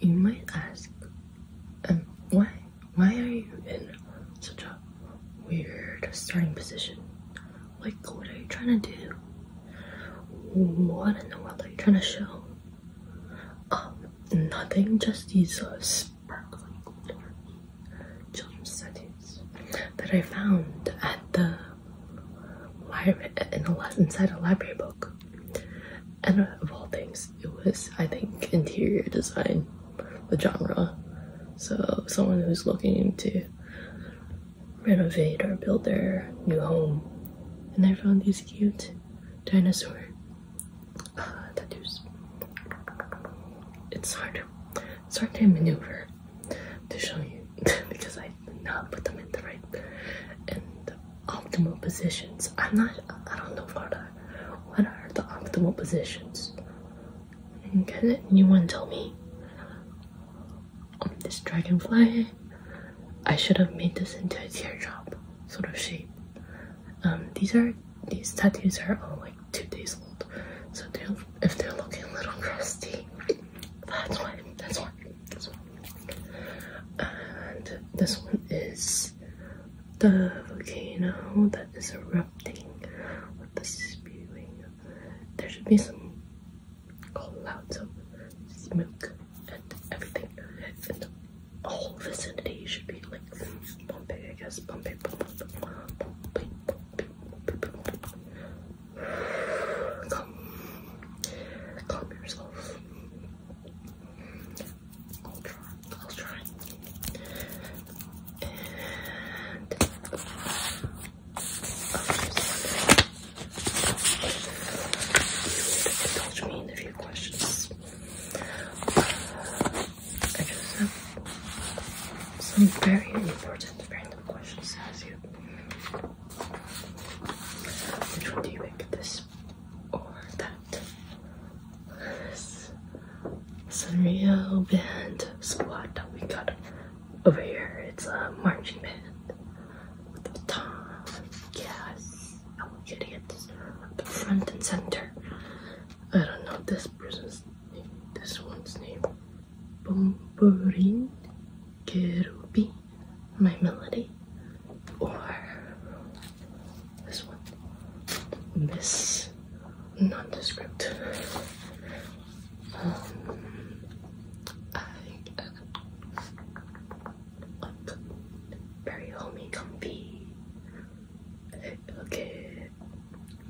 You might ask, um, why, are you in such a weird starting position? Like, what are you trying to do? What in the world are you trying to show? Um, nothing, just these uh, sparkling glittery jump settings that I found at the in inside a library book. And of all things, it was, I think, interior design, the genre. So, someone who's looking to renovate or build their new home. And I found these cute dinosaur uh, tattoos. It's hard. It's hard to maneuver to show you because I did not put them in the right and optimal positions. I'm not, I don't know what are, what are the optimal positions. Can anyone tell me? this dragonfly, I should have made this into a teardrop sort of shape. Um, these are these tattoos are all like two days old, so if they're looking a little crusty, that's why. That's why this one is the volcano that is erupting with the spewing. There should be some clouds of smoke and everything. And the whole vicinity should be like Bombay, I guess. Calm, calm yourself. I'll try. I'll try. And i uh, me a few questions. I just have some very important random questions as you. Which one do you pick? This or that? This. real band squad that we got over here. It's a marching band with a tom. Yes, I want you to get this front and center. I don't know this person's name, this one's name. Bomborin, Kerubi, My Melody, or this one, Miss Nondescript. Um, very homey, comfy, okay,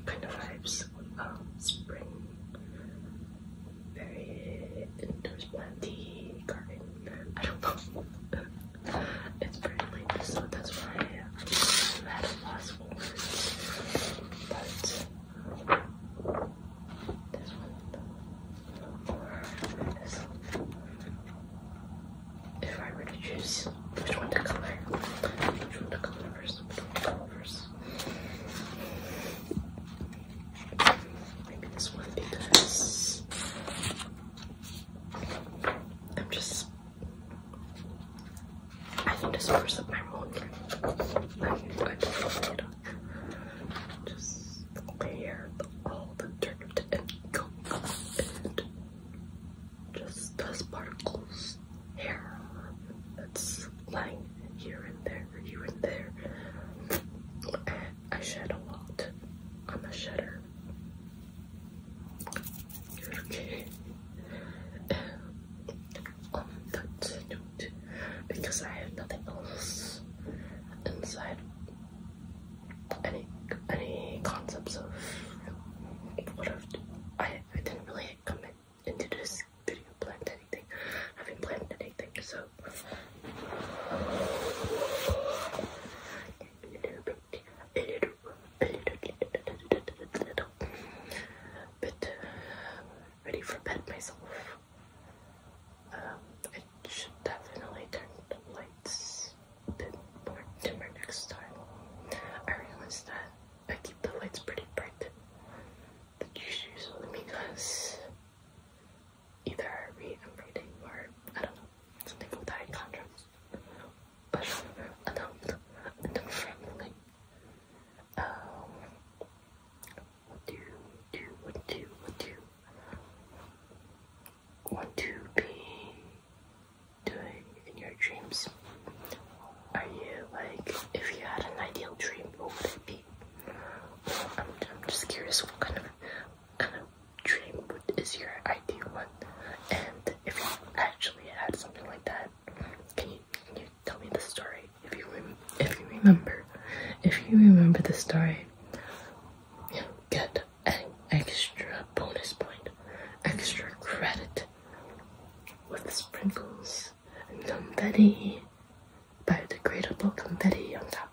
kind of vibes. Um, spring. Very indoors garden. I don't know. it's pretty late, so that's why I'm at a loss But this one is. If I were to choose which one to color, which one to color first, which one to color first this. Maybe this one because I'm just I think this person my own not know. Just clear all the dirt and just dust particles hair that's lying here and there, here and there. I, shed a lot. I'm a shedder. Okay. On um, that note, because I have nothing else inside any any concepts of what have I I didn't really commit into this video planned anything. I haven't planned anything, so a uh, ready for bed myself. Um, I should definitely turn the lights a bit more dimmer next time. I realized that I keep the lights pretty bright. usually because either I am reading, or I don't know, something with high contrast. But adult, adult friendly. Um, what do you do? What do you, what do you want to be? do it in your dreams? Are you like, if you had an ideal dream, what would it be? I'm, just curious what kind of kind of dream is your ideal one? And if you actually had something like that, can you tell me the story? If you if you remember, if you remember the story, you get an extra bonus point, extra credit with sprinkles and confetti, biodegradable confetti on top.